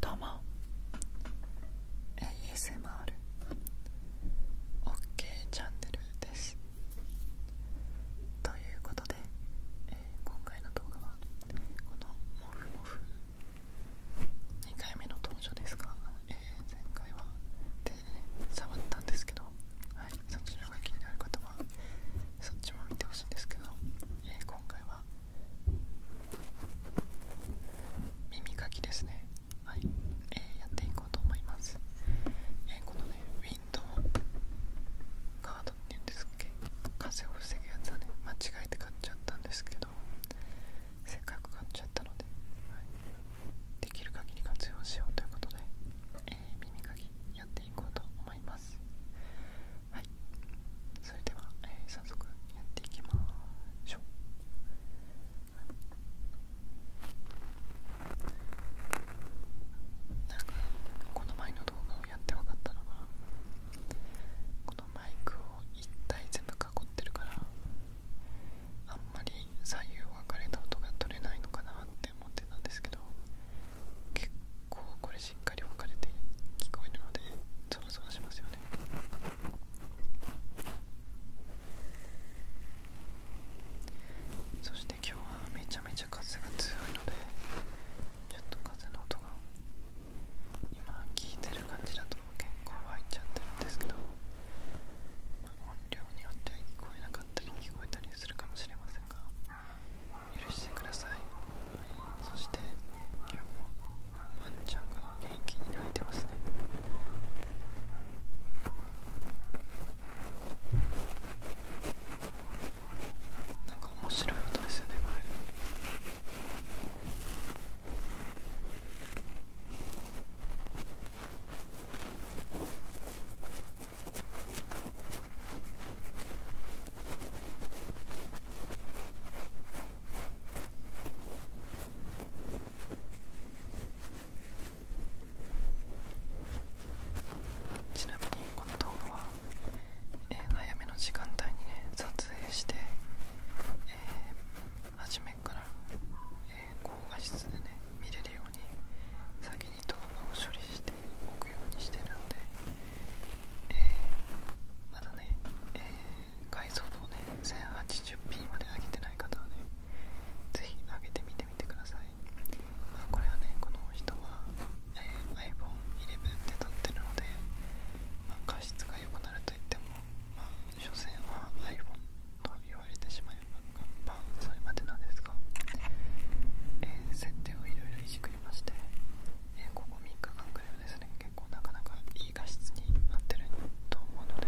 どうも ASMR OK チャンネルですということで、え今回の動画はこのモフモフ2回目の登場ですか？前回は手で、触ったんですけど、はい、そちらが気になる方はそっちも見てほしいんですけど、今回は耳かきですねはい、えやっていこうと思います、えこのねウィンドウカードっていうんですっけ風を防ぐやつはね間違えて買っちゃったんですけどせっかく買っちゃったので、できる限り活用しようということで、耳かきやっていこうと思いますはいそれでは、早速やっていきましょうこの前の動画をやって分かったのがこのマイクを1体全部囲ってるからあんまり左右分かれた音が取れないのかなって思ってたんですけど結構これしっかり分かれて聞こえるのでそろそろしますよねそして今日はめちゃめちゃ風が強いのでやっと風の音が今聞いてる感じだと結構入っちゃってるんですけど、音量によっては聞こえなかったり聞こえたりするかもしれませんが許してくださいそして今日もワンちゃんが元気に泣いてますねなんか面白い音ですよねこれこちなみにこの動画は、早めの時間帯に撮影して、初めから、高画質で見れるように先に動画を処理しておくようにしてるんでえまだね、えー、解像をね 1080p まで上げてない方はねぜひ上げてみてみてください、まこれはねこの人は、え iPhone11 で撮ってるので、まあ、画質が良くなるといってもまあ所詮は iPhone と言われてしまえば、まあ、それまでなんですが、え設定をいろいろいじくりましてえー、ここ3日間くらいはですね結構なかなかいい画質になってると思うので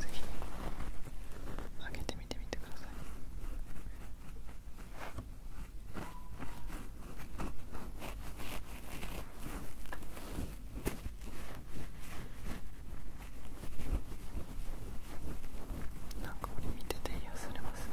ぜひ上げてみてみてくださいなんか俺見てて癒されます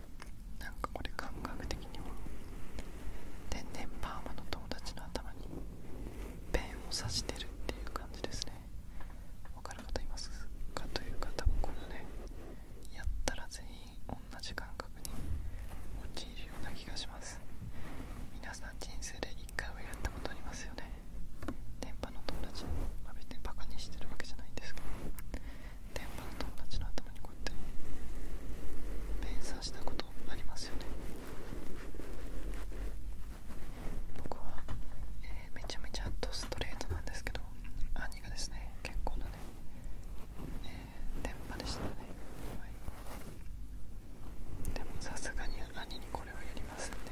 なんかこれ感覚的には天然パーマの友達の頭にペンを刺してるっていう感じですねわかる方いますかという方もこのねやったら全員同じ感覚に陥るような気がします皆さん人生で一回はやったことありますよね電波の友達、まあ、別にバカにしてるわけじゃないですか？電波の友達の頭にこうやって連鎖したことありますよね僕は、えめちゃめちゃドストレートなんですけど兄がですね結構なね、え電波でしたね、はい、でもさすがに兄にこれはやりますんで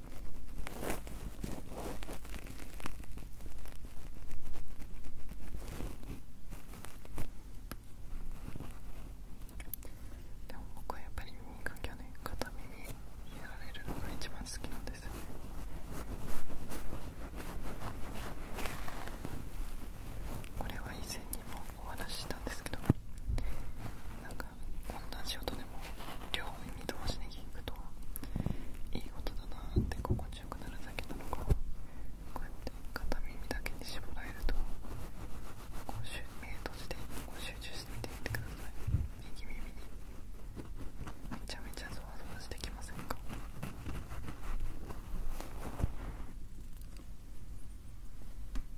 でも僕はやっぱり耳かきはね片耳やられるのが一番好きなんですよねこれは以前にもお話ししたんですけどなんか同じ音でも両耳同時に聞くといい音だなって心地よくなるだけなのかこうやって片耳だけに絞られるとこう目閉じてこう集中してみてみてください右耳にめちゃめちゃゾワゾワしてきませんか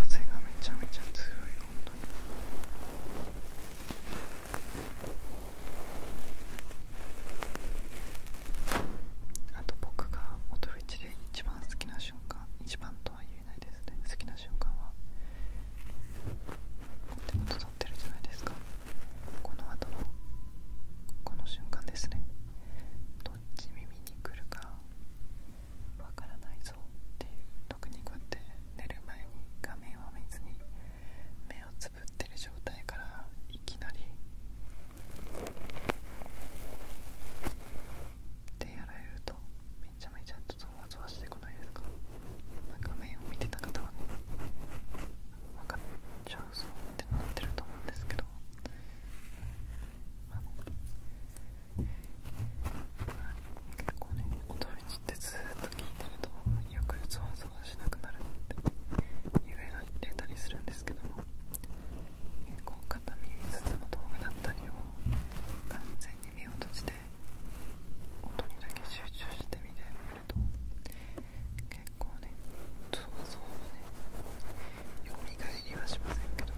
風がめちゃめちゃ強い本当に。あと僕が音フェチで一番好きな瞬間一番とは言えないですね好きな瞬間は手元取ってるじゃないですかこの後のこの瞬間ですねどっち耳に来るかわからないぞっていう特にこうやって寝る前に画面を見ずに目をつぶってる状態からいきなりってやられるとめちゃめちゃちょっないか画面を見てた方はね分かっちゃうぞってなってると思うんですけどあの結構ね音道ってずっと聞いてるとよくゾワゾワしなくなるって夢がてたりするんですけども結構片耳ずつの動画だったりを完全に目を閉じて音にだけ集中してみてみると結構ねそ像そねよみがえりはしませんけど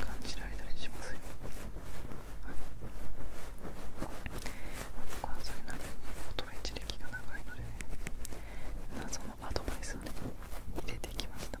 感じられたりしますよはい僕はそれなりに音の一歴が長いのでね謎のアドバイスをね入れてきました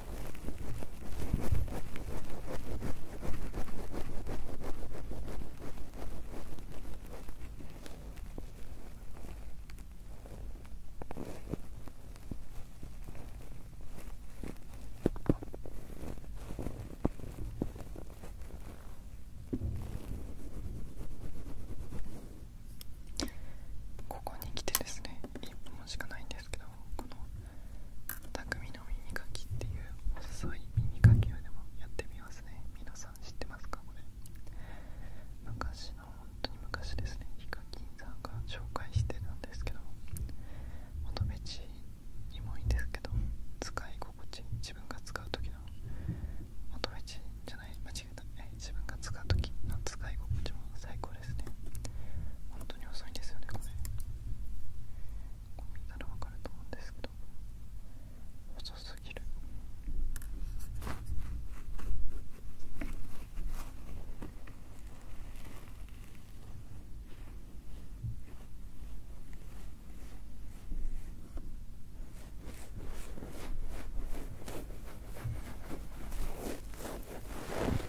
ここに来てですね1分しかないんですけどこの匠の耳かきっていう細い耳かきをでもやってみますね皆さん知ってますかこれ昔の本当に昔ですねヒカキンさんが紹介してるんですけど求め地にもいいんですけど使い心地自分が使う時の求め地じゃない間違えた、ね、自分が使う時の使い心地も最高ですね本当に遅いんですよねこ見たらわかると思うんですけど遅すぎるこ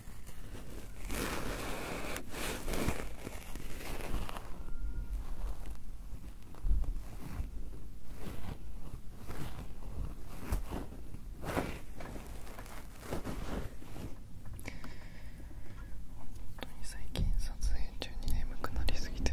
当に最近撮影中に眠くなりすぎて。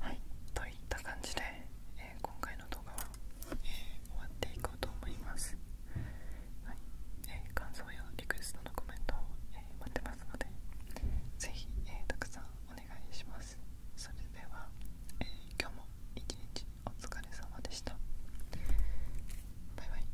はいといった感じで、え今回の動画は、え終わっていこうと思います、はいえー、感想やリクエストのコメントを、え待ってますのでぜひ、えたくさんお願いしますそれでは、え今日も一日お疲れ様でしたバイバイ